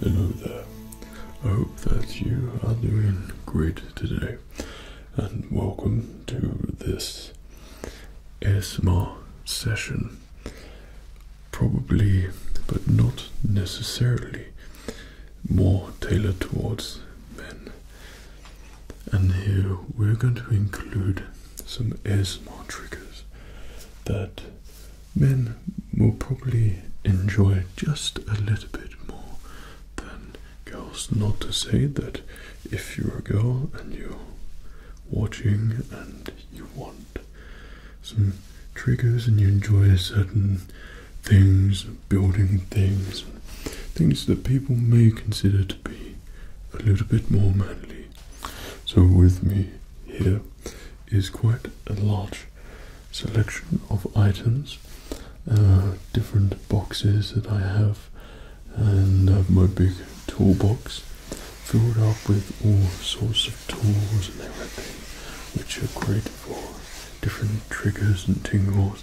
Hello there. I hope that you are doing great today, and welcome to this Esma session probably, but not necessarily, more tailored towards men. And here we're going to include some ASMR triggers that men will probably enjoy just a little bit more than girls. Not to say that if you're a girl and you're watching and you want some triggers and you enjoy certain things, building things, things that people may consider to be a little bit more manly. So, with me here is quite a large selection of items, uh, different boxes that I have, and I have my big toolbox filled up with all sorts of tools and everything which are great for different triggers and tingles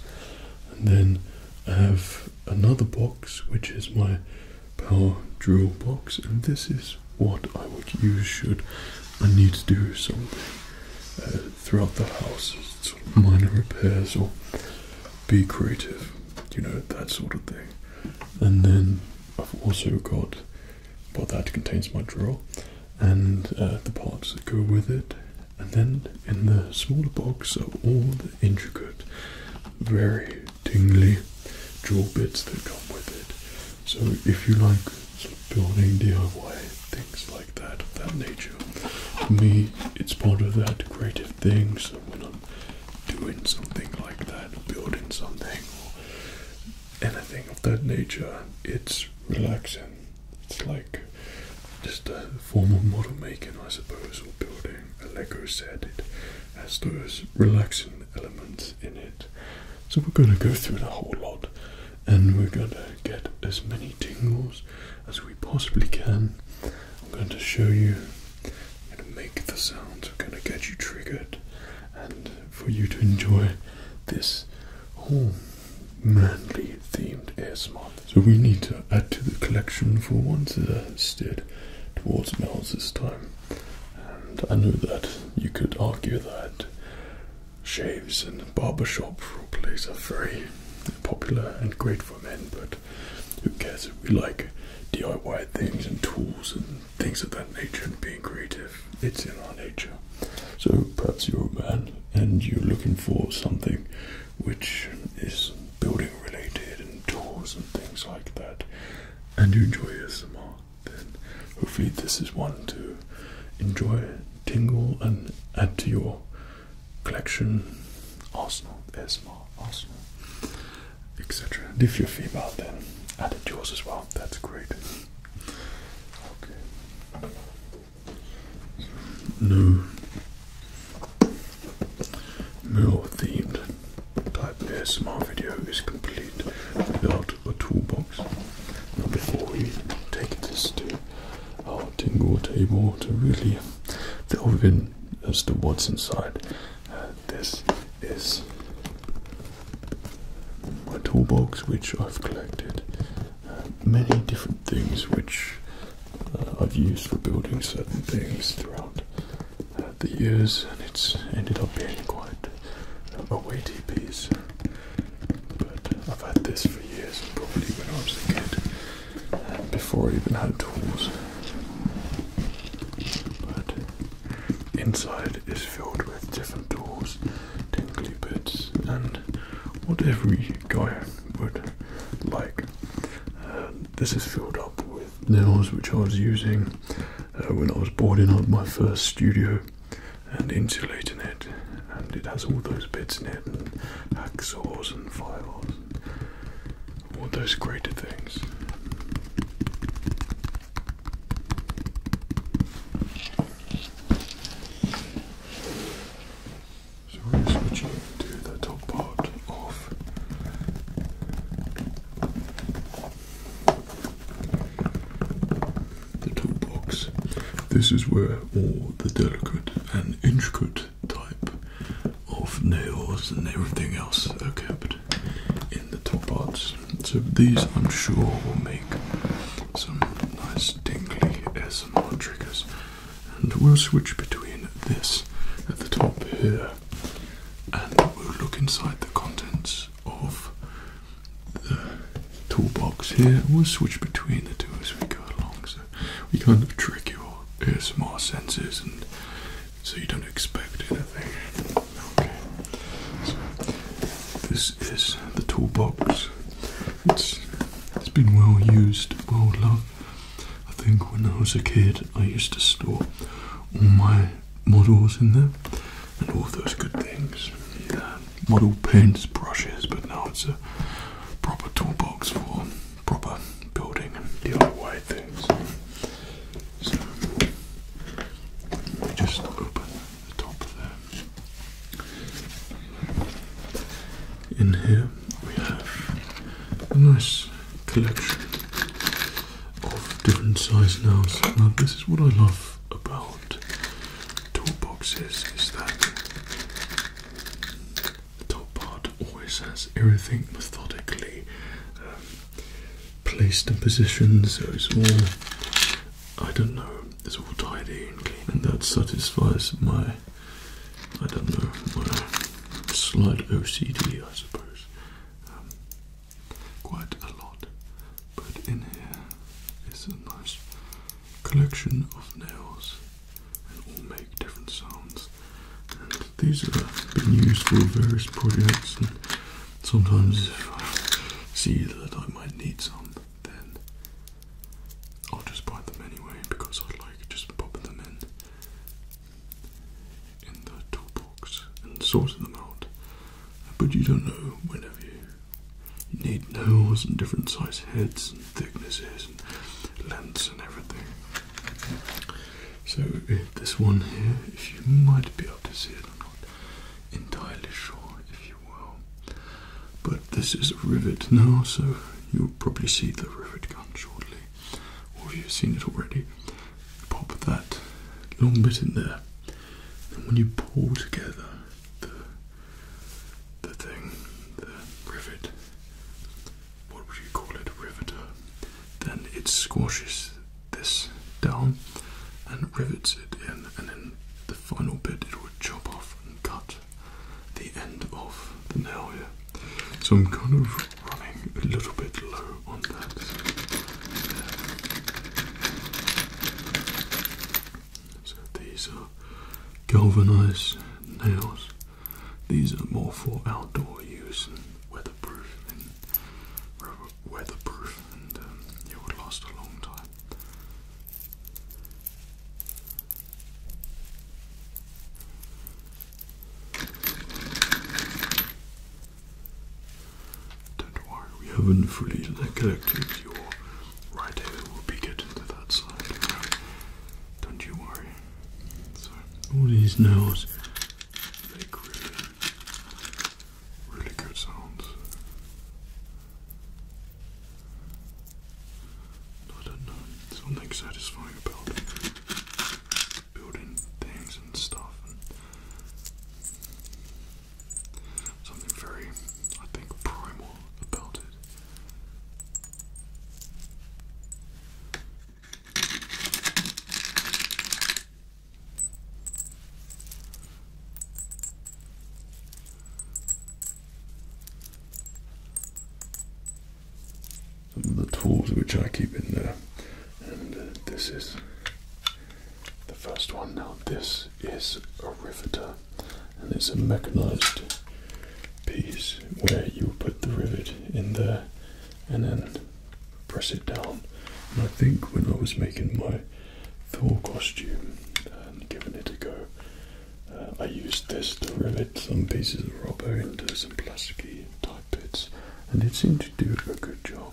and then I have another box which is my power drill box and this is what I would use should I need to do something uh, throughout the house, minor repairs or be creative, you know, that sort of thing. And then I've also got what that contains my drill and uh, the parts that go with it. And then in the smaller box are all the intricate, very tingly drill bits that come with it. So if you like sort of building DIY, things like that, of that nature, for me it's part of that creative thing. So when I'm doing something like that, building something, anything of that nature. It's relaxing. It's like just a form of model making, I suppose, or building. A Lego set it has those relaxing elements in it. So we're going to go through the whole lot, and we're going to get as many tingles as we possibly can. I'm going to show you I'm going to make the sounds, are going to get you triggered, and for you to enjoy this whole manly themed ASMR. So we need to add to the collection for once that are steered towards males this time. And I know that you could argue that shaves and barber shop barbershop plays are very popular and great for men, but who cares if we like DIY things and tools and things of that nature and being creative. It's in our nature. So perhaps you're a man and you're looking for something which is building related and tools and things like that, and you enjoy a ASMR, then hopefully this is one to enjoy, tingle, and add to your collection. Arsenal, ASMR, Arsenal etc. if you're female, then added yours as well. That's great. Okay. No more themed type ASMR video is complete without a toolbox. Now before we take this to our tingle table to really delve in as to what's inside uh, this is my toolbox, which I've collected uh, many different things which uh, I've used for building certain things throughout uh, the years, and it's ended up being quite a weighty piece. But I've had this for years, probably when I was a kid, before I even had tools. But inside is filled with different tools, tingly bits, and what every guy would like. Uh, this is filled up with nails which I was using uh, when I was boarding up my first studio and insulating it, and it has all those bits in it, and hacksaws and files, all those greater things. So we're going to the top part of the toolbox. This is where all the delicate and intricate type of nails and everything else are kept in the top parts. So these, I'm sure, will make some nice tingly SMR triggers. And we'll switch between this at the top here, and we'll look inside the contents of the toolbox here. We'll switch between the two as we go along, so we kind of trick your ASMR senses and so you don't expect anything. Okay. this is the toolbox. It's it's been well used, well loved. I think when I was a kid, I used to store all my models in there and all those good things. model paints, brushes, but now it's a proper toolbox for proper building and DIY things. So we just open the top of that. In here we have a nice collection of different size nails. Now this is what I love about toolboxes is that the top part always has everything methodically um, placed in position so it's all, I don't know, it's all tidy and clean and that satisfies my, I don't know, my slight OCD I suppose, um, quite a lot. But in here is a nice collection of nails and all make different sounds these have been used for various projects sometimes if I see that I might need some, then I'll just buy them anyway because I like just popping them in in the toolbox and sorting them out. But you don't know whenever you, need nails and different size heads and thicknesses and lengths and everything. So eh, this one here, if you might be able to see it or not, entirely sure, if you will. But this is a rivet now, so you'll probably see the rivet gun shortly, or you've seen it already. Pop that long bit in there, and when you pull together the the thing, the rivet, what would you call it, riveter, then it squashes this down and rivets it in, and then the final bit it will chop off and cut the end of the nail here. So I'm kind of running a little bit low on that. So these are galvanized nails. These are more for outdoor use and weatherproofing, weatherproof and um, it would last a long time. Don't worry, we haven't fully neglected your right ear. We'll be getting to that side. Don't you worry. So all these nails, they really Really good sounds. I don't know, something satisfying about building things and stuff. something very, I think, primal about it the tools which I keep in there. And uh, this is the first one. Now, this is a riveter, and it's a mechanized piece where you put the rivet in there and then press it down. And I think when I was making my Thor costume and giving it a go, uh, I used this to rivet some pieces of rubber into some plasticky type bits, and it seemed to do a good job.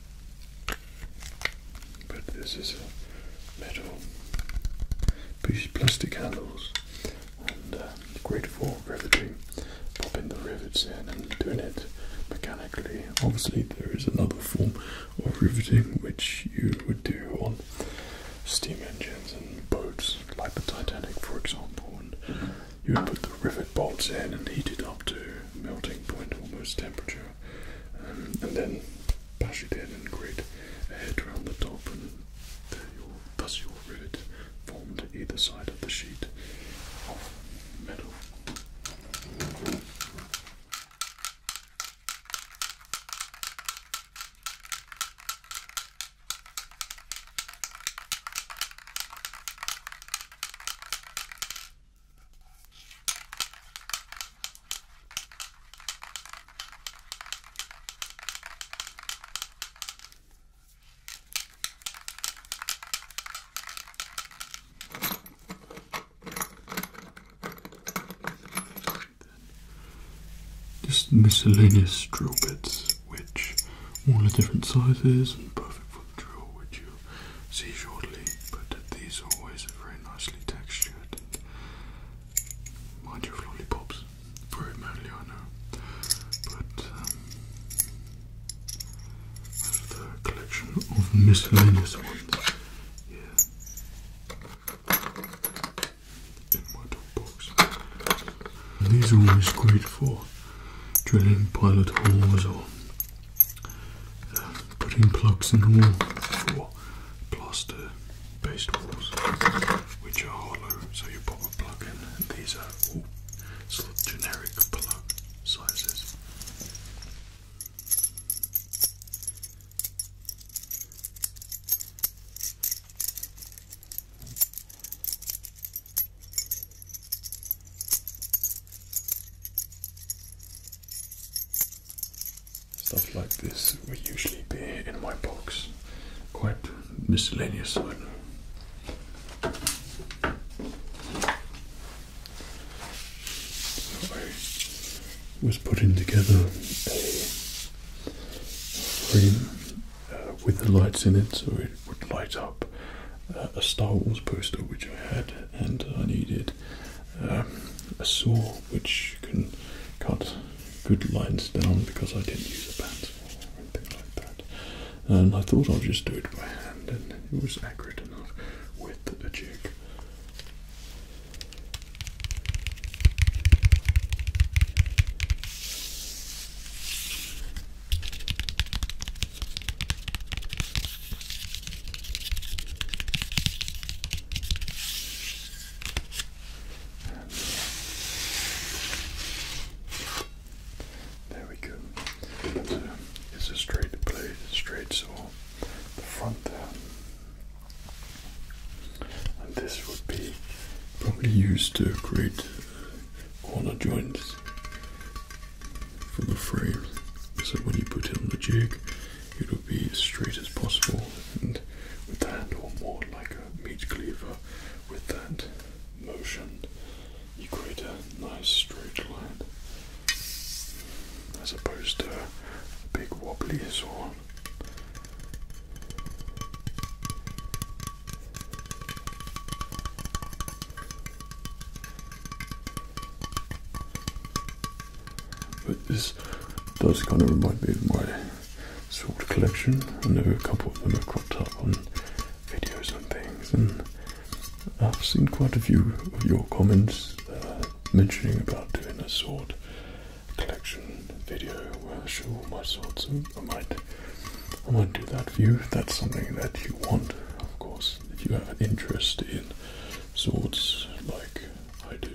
But this is a metal piece, plastic handles, and uh, great for riveting. Popping the rivets in and doing it mechanically. Obviously, there is another form of riveting which you would do on steam engines and boats, like the Titanic, for example. you would put the rivet bolts in and heat it up to melting point, almost temperature. Um, and then bash it in and create a head around the top, and there your, thus your rivet formed either side of the sheet metal. Just miscellaneous drill bits, which all are different sizes and perfect for the drill, which you'll see shortly. But these are always very nicely textured Mind you, lollipops. Very manly, I know. But, um, the collection of miscellaneous ones. Yeah. In my top these are always great for drilling pilot holes or putting plugs in the wall for plaster based walls which are hollow so you pop a plug in and these are all sort of generic plug sizes. Stuff like this will usually be in my box. Quite miscellaneous, I was putting together a frame uh, with the lights in it so it would light up uh, a Star Wars poster which I had, and I needed um, a saw which can cut good lines down because I didn't use a pencil or anything like that. And I thought i would just do it by hand and it was accurate enough with a jig. There we go. It's a, it's a straight blade, straight saw. The front there. And this would be probably used to create uh, corner joints for the frame. So when you put it on the jig, it would be as straight as possible and with the handle more like a meat cleaver. With that motion, you create a nice straight line as opposed to a big wobbly saw. But this does kind of remind me of my sword collection. I know a couple of them have cropped up on videos and things, and I've seen quite a few of your comments uh, mentioning about doing a sword collection video where I show all my swords. So I might, I might do that for you if that's something that you want. Of course, if you have an interest in swords like I do.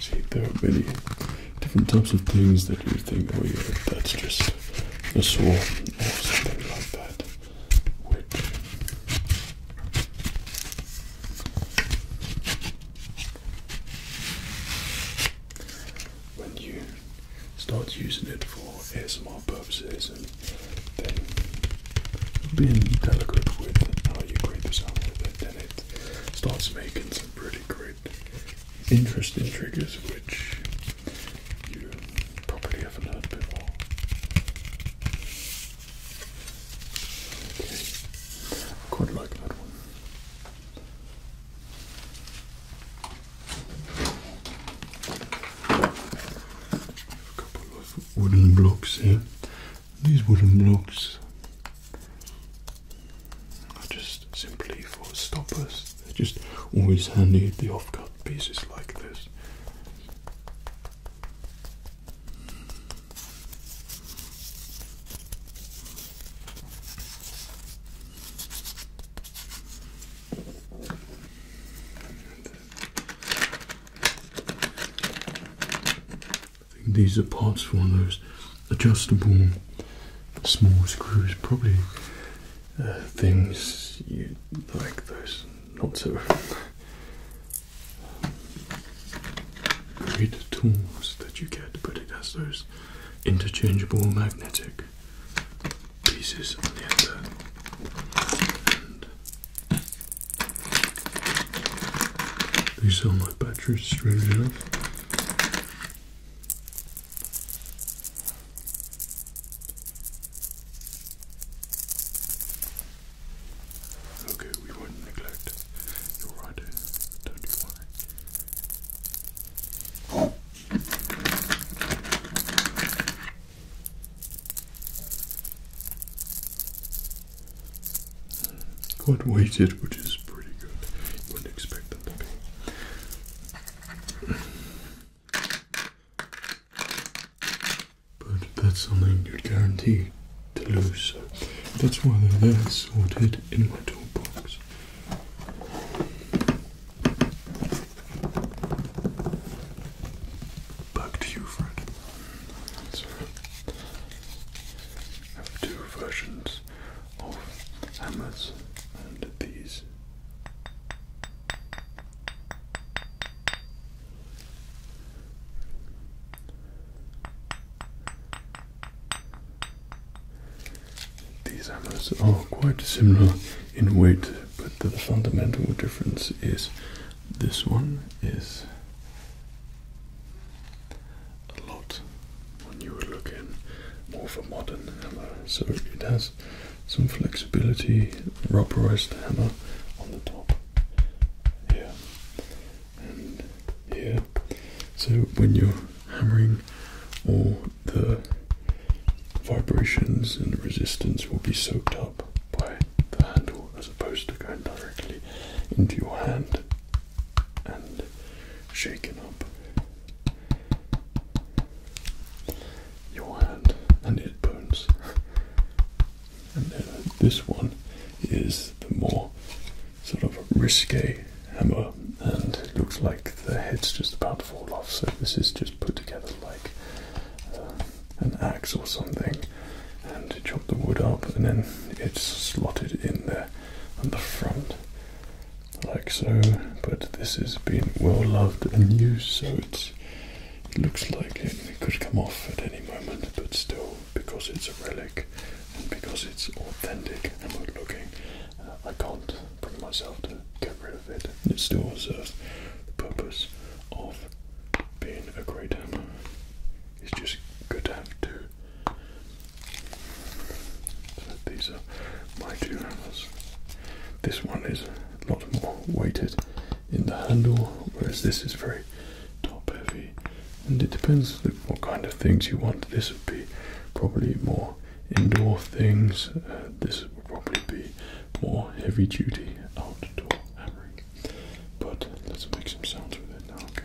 See, there are many different types of things that you think, oh yeah, that's just a swarm or something like that. Which when you Starts using it for ASMR purposes and then being delicate with how you create the sound with it, then it starts making some pretty great, interesting triggers which you probably haven't heard before. I quite like that one. A couple of wooden blocks here. These wooden blocks are just simply for stoppers. They're just always handy the offcut pieces like this. I think these are parts for one of those adjustable small screws, probably uh, things like those not so great tools that you get, but it has those interchangeable magnetic pieces on the end, and they sell my batteries strange enough. Okay, we won't neglect your rider, don't you worry. Quite weighted, which is pretty good. You wouldn't expect them to be. But that's something you'd guarantee to lose, so that's why they're there sorted in my toolbox. Back to you, Fred. I have two versions of hammers and these. These hammers are quite similar in weight but the fundamental difference is this one is a lot when you were looking more for modern hammer. So it has some flexibility, rubberized hammer on the top here and here. So when you're hammering or the vibrations and the resistance will be soaked up by the handle as opposed to going directly into your hand and shaken up your hand and it burns. And uh, this one is the more sort of risque hammer, and it looks like the head's just about to fall off. So this is just put together like an axe or something and chop the wood up, and then it's slotted in there on the front, like so. But this has been well loved and used, so it looks like it, could come off at any moment, but still, because it's a relic and because it's authentic and good looking, uh, I can't bring myself to get rid of it it. still serves the purpose of being a great hammer. It's just good to have two. So these are my two hammers. This one is a lot more weighted in the handle, whereas this is very top heavy. And it depends what kind of things you want. This would be probably more indoor things. Uh, this would probably be more heavy duty outdoor hammering. But let's make some sounds with it now, okay?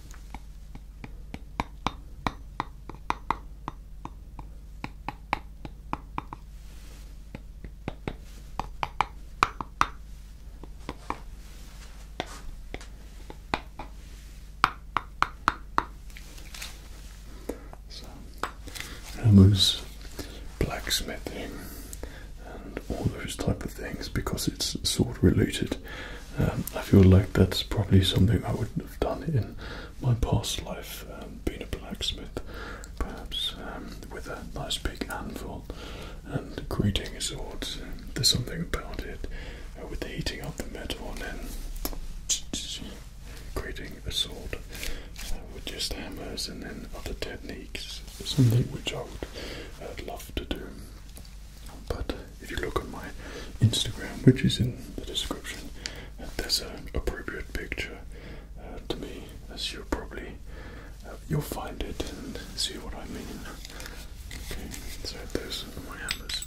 So I was blacksmithing and all those type of things because it's sort of related um, I feel like that's probably something I would have done in my past life, um, being a blacksmith, perhaps um, with a nice big anvil and grating a sword. There's something about it uh, with the heating up the metal and creating a sword uh, with just hammers and then other techniques. Something which I would uh, love to do, but if you look on my Instagram, which is in the description, there's an appropriate picture uh, to me, as you'll probably uh, you'll find it and see what I mean. Okay, so those are my hammers.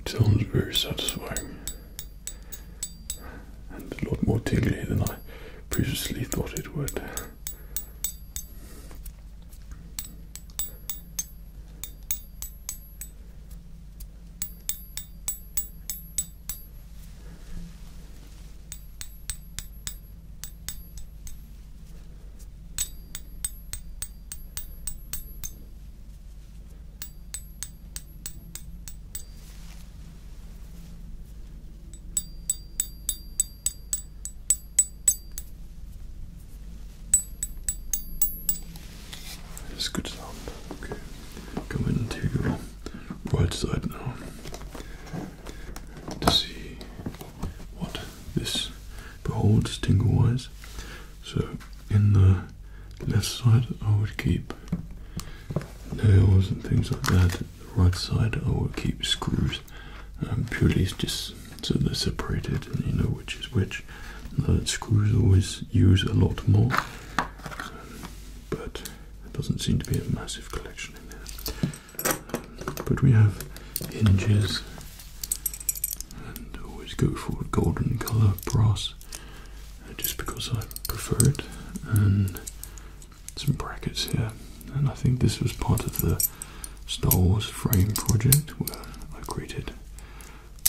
it sounds very satisfying and a lot more tingly than I previously thought it would. It's good sound. Okay, come to your right side now to see what this beholds tingle wise. So, in the left side, I would keep nails and things like that. right side I will keep screws um, purely just so they're separated and you know which is which. screws always use a lot more, but there doesn't seem to be a massive collection in there. but we have hinges and always go for a golden colour brass uh, just because I prefer it and some brackets here and I think this was part of the Star Wars frame project where I created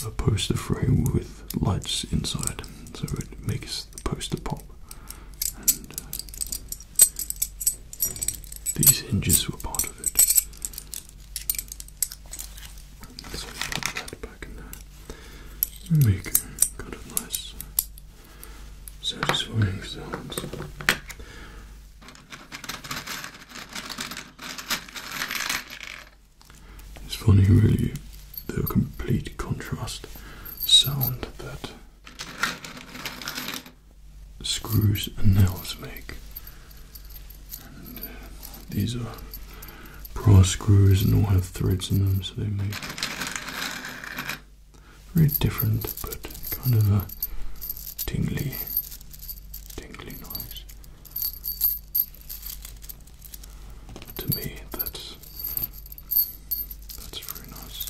a poster frame with lights inside so it makes the poster pop uh, these hinges were part of it. put that back in there make kind of nice satisfying sounds. Mm. It's funny, really, the complete contrast sound that screws and nails make. Uh, these are brass screws and all have threads in them, so they make very different, but kind of a tingly, tingly noise. To me, that's that's very nice.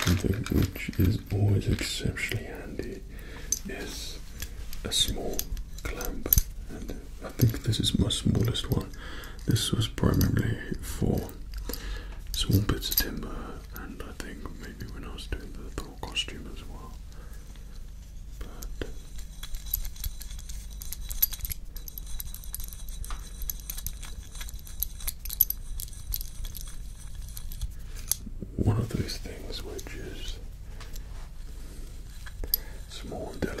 Something which is always exceptionally handy is a small clamp, and I think this is my smallest one. This was primarily for small bits of timber, and I think maybe when I was doing the Thor costume as well one of those things which is small and delicate.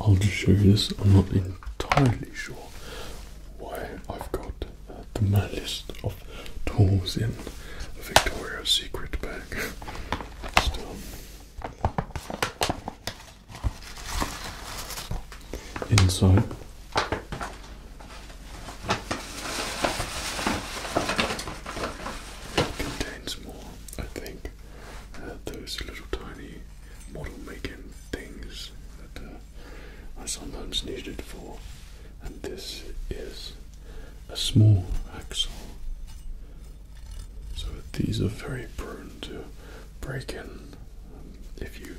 I'll just show you this. I'm not entirely sure why I've got the mad list of tools in a Victoria's Secret bag. Still. Inside Contains more, I think, uh, those little tiny model making things that uh, I sometimes needed for. And this is a small axle. So these are very prone to break in um, if you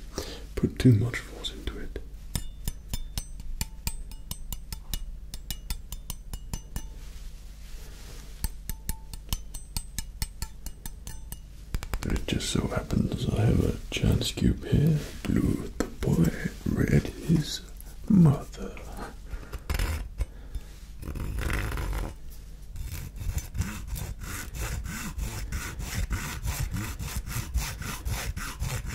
put too much force into it. it just so happens I have a chance cube here. Blue, the boy. Red, his mother.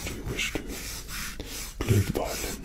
Should you wish to play the violin,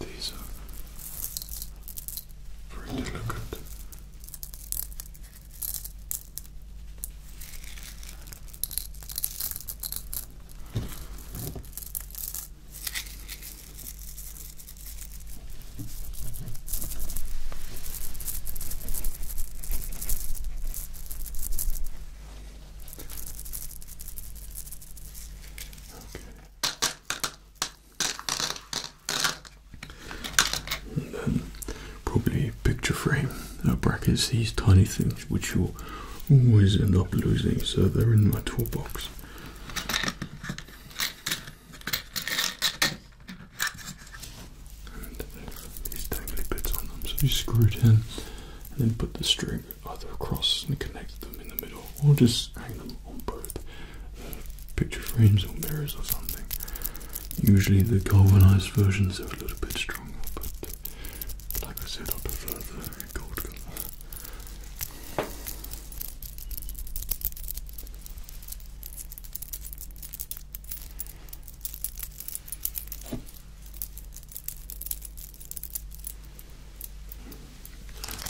And these are very delicate. Probably a picture frame uh, brackets, these tiny things which you'll always end up losing, so they're in my toolbox. So you screw it in and then put the string either across and connect them in the middle or just hang them on both uh, picture frames or mirrors or something. Usually the galvanized versions are a little bit stronger, but like I said, I prefer the gold color.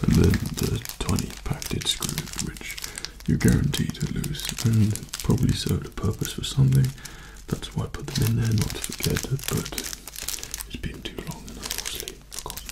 And then the tiny packed screw, which you're guaranteed to lose, and probably served a purpose for something. That's why I put them in there, not to forget it, but it's been too long and I've obviously forgotten.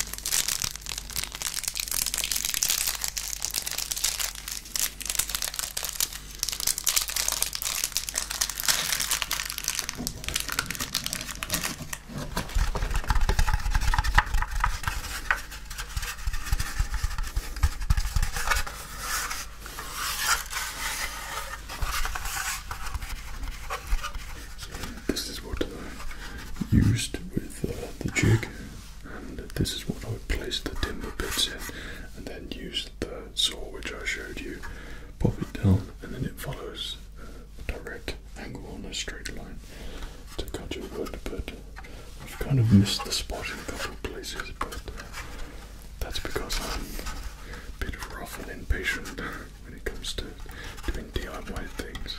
So this is what I used with uh, the jig and this is what I would place the timber bits in and then use the saw which I showed you, pop it down and then it follows uh, a direct angle on a straight line to cut your wood but I've kind of missed the spot in a couple of places but uh, that's because I'm a bit rough and impatient when it comes to doing DIY things.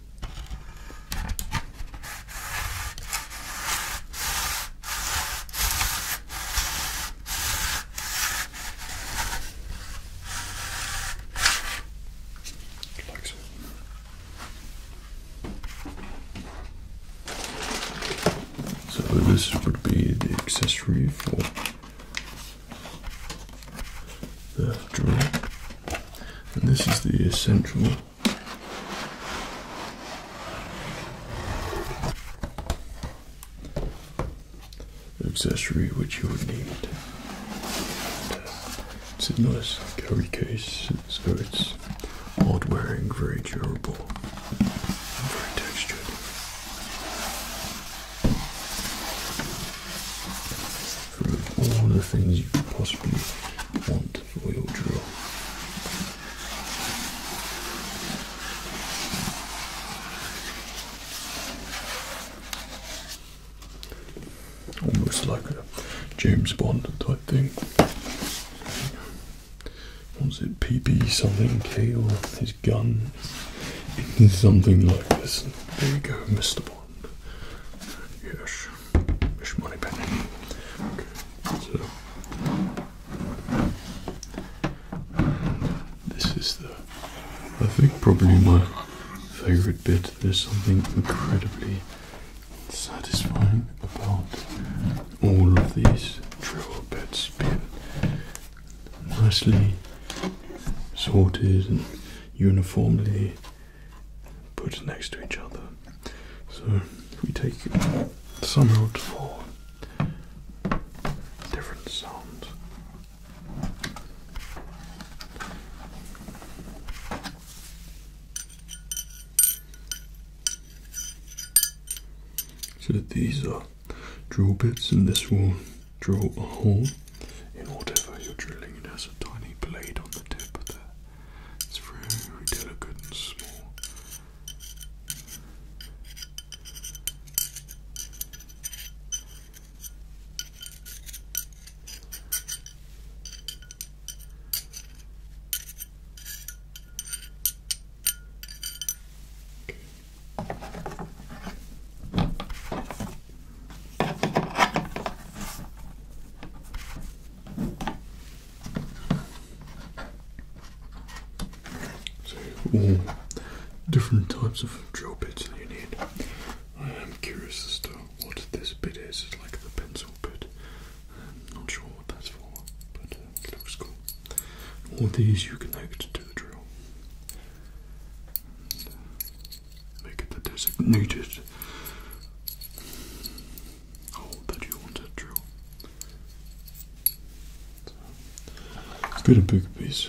Like so. So this would be the accessory for the drawer, and this is the essential accessory which you would need. it's a nice carry case, so it's hard wearing, very durable, very textured. For all the things you could possibly want Almost like a James Bond type thing. Was it PP something K or his gun? something like this. There you go, Mr. Bond. Yes this is the I think probably my favorite bit. There's something incredibly satisfying about all of these drill bits being nicely sorted and uniformly put next to each other. So we take some out for different sounds. So these are drill bits and this will drill a hole in whatever you're drilling. It has a tiny blade on the tip of that. It's very delicate and small. So all different types of drill bits that you need. I am curious as to what this bit is. It's like the pencil bit. I'm not sure what that's for, but uh, it looks cool. All these you connect to the drill. Uh, make it the designated Oh, that you wanted, true. Let's get a piece.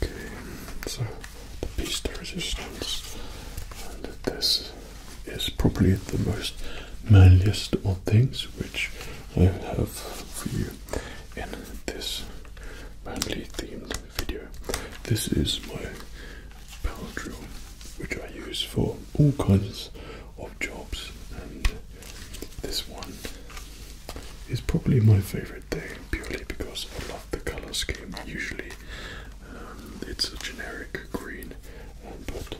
Okay, so the piece de resistance, this is probably the most manliest of things which I have for you in this manly themed video. This is my power drill, which I use for all kinds of jobs, and this one is probably my favourite thing purely because I love the colour scheme. Usually, um, it's a generic green, and but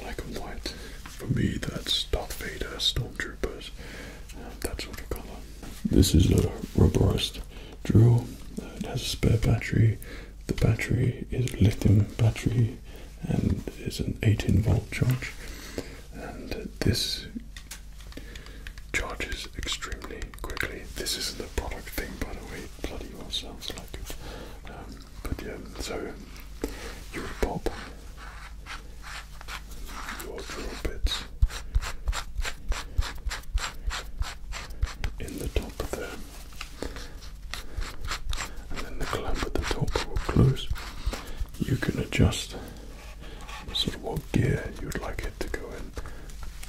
black and white for me that's Darth Vader, Stormtroopers, um, that sort of colour. This is a rubberized drill. It has a spare battery. The battery is a lithium battery and is an 18 volt charge and this charges extremely quickly. This is the product thing by the way, bloody well sounds like it. Um, but yeah, so you would pop your drill in the top of there and then the clamp at the top will close. You can adjust sort of what gear you'd like it to go in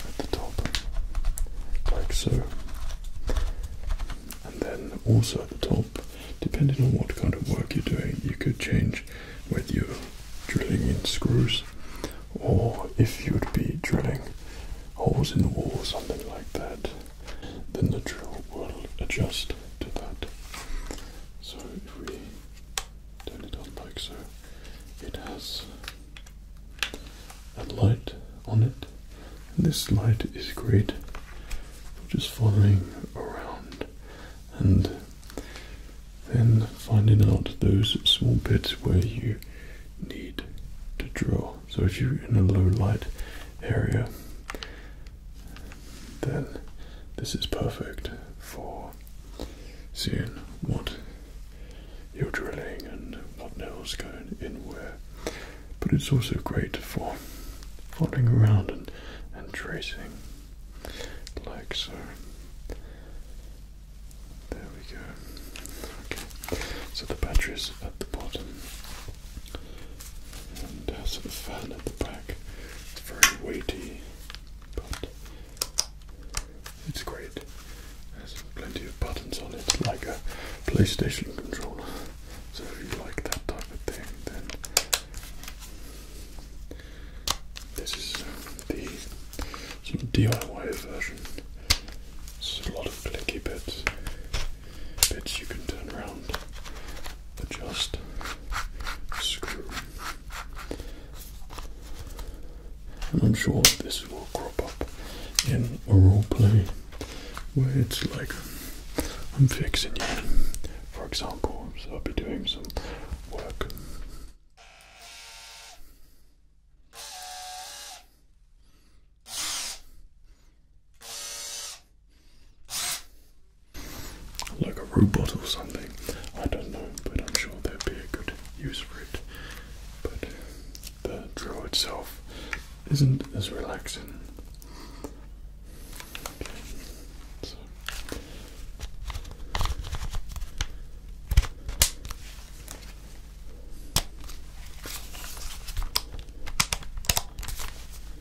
at the top, like so. And then also at the top, depending on what kind of work you're doing, you could change whether you're drilling in screws or if you would be drilling holes in the wall or something like that then the drill will adjust to that. So if we turn it on like so, it has a light on it, and this light is great for just following around and then finding out those small bits where you need to drill. So if you're in a low light area then this is perfect for seeing what you're drilling and what nails going in where. But it's also great for following around and, and tracing like so. There we go. Okay. So the battery's at the bottom and has uh, sort of fan at the back. It's very weighty, but it's great. There's plenty of buttons on it, like a PlayStation controller. So if you like that type of thing, then this is um, the DIY version. It's a lot of clicky bits bits you can turn around, adjust, screw. And I'm sure this will crop up in a role play where it's like I'm fixing you, for example. I'll be doing some work. Like a robot or something. I don't know, but I'm sure there'd be a good use for it. But the drill itself isn't as relaxing.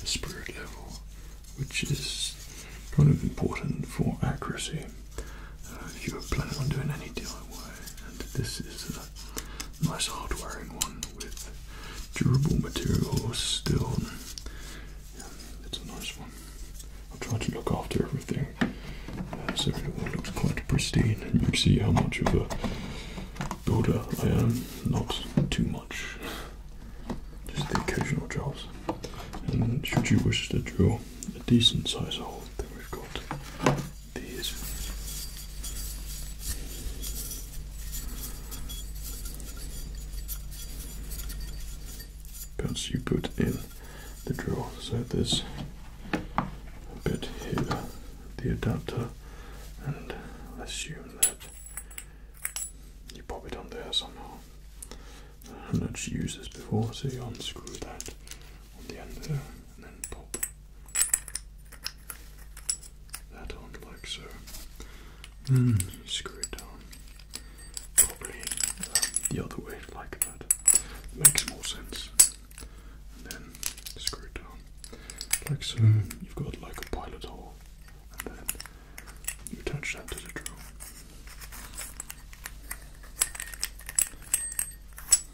The spirit level, which is kind of important for accuracy. Uh, if you're planning on doing any DIY, and this is uh, nice hard wearing one with durable materials still. Yeah, it's a nice one. i am trying to look after everything uh, so it looks quite pristine and you see how much of a builder I am. Not too much, just the occasional jobs. And should you wish to drill a decent size hole, then we've these. Because you put in the drawer, so there's a bit here, the adapter, and let assume that you pop it on there somehow. I've not used this before, so you unscrew that on the end there and then pop that on like so. Hmm, screw it down. Probably um, the other way like that. Makes more sense. And then screw it down. Like so, you've got like a pilot hole. And then you attach that to the drill.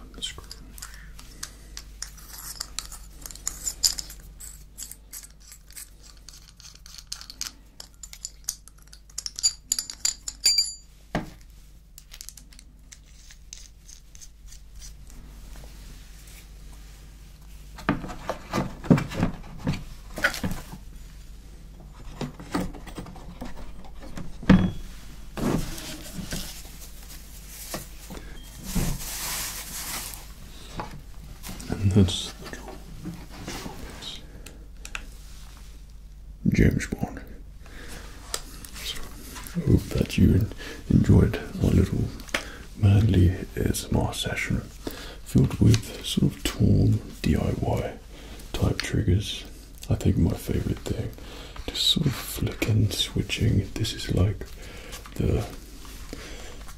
on the screen. And that's the draw. James Bond. So I hope that you enjoyed our little manly ASMR session filled with sort of torn DIY type triggers. I think my favorite thing, just sort of flicking, switching. This is like the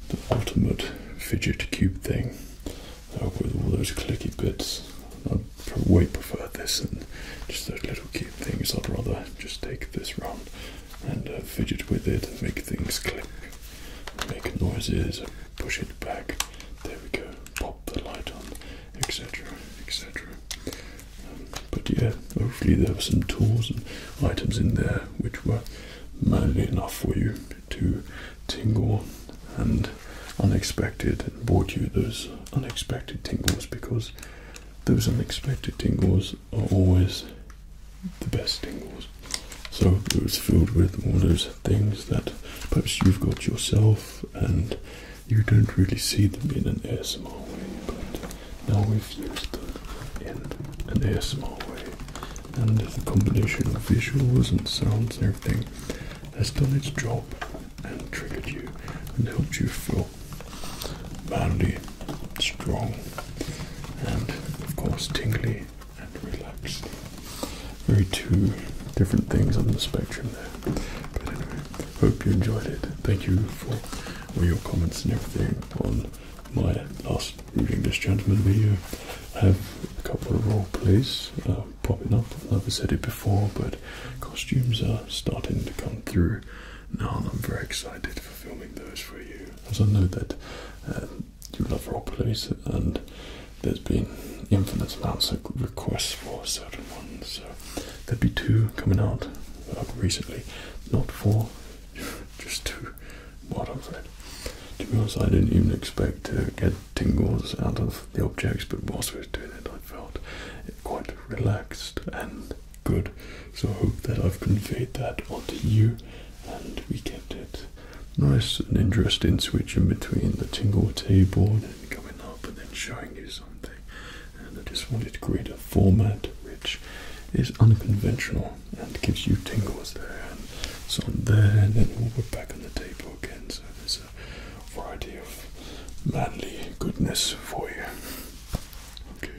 the ultimate fidget cube thing uh, with all those clicky bits. I would way prefer this and just those little cute things. I'd rather just take this round and uh, fidget with it, make things click, make noises, push it back. There we go. Pop the light on, etc., etc. Um, but yeah, hopefully there were some tools and items in there which were manly enough for you to tingle and unexpected and brought you those unexpected tingles because those unexpected tingles are always the best things. So it was filled with all those things that perhaps you've got yourself and you don't really see them in an ASMR way, but now we've used them in an ASMR way. And the combination of visuals and sounds and everything has done its job and triggered you and helped you feel manly, strong, and of course tingly and relaxed. Very two different things on the spectrum there. But anyway, hope you enjoyed it. Thank you for all your comments and everything on my last reading this gentleman video. I have a couple of role plays uh, popping up. I've said it before, but costumes are starting to come through. Now I'm very excited for filming those for you, as I know that um, you love role plays, and there's been infinite amounts of requests for certain ones. So there will be two coming out uh, recently, not four, just two. What I'm To be honest, I didn't even expect to get tingles out of the objects, but whilst we were doing it, I felt quite relaxed and Good. So I hope that I've conveyed that onto you and we kept it nice and interesting switch in between the tingle table and coming up and then showing you something. And I just wanted to create a format which is unconventional and gives you tingles there and so there and then all we're back on the table again. So there's a variety of manly goodness for you. Okay.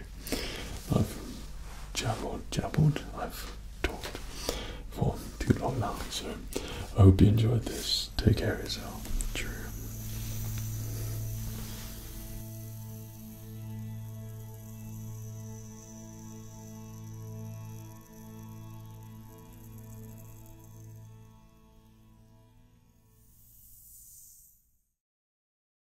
I've jabbed, jabbed. I've talked for too long now. So I hope you enjoyed this. Take care of yourself. True.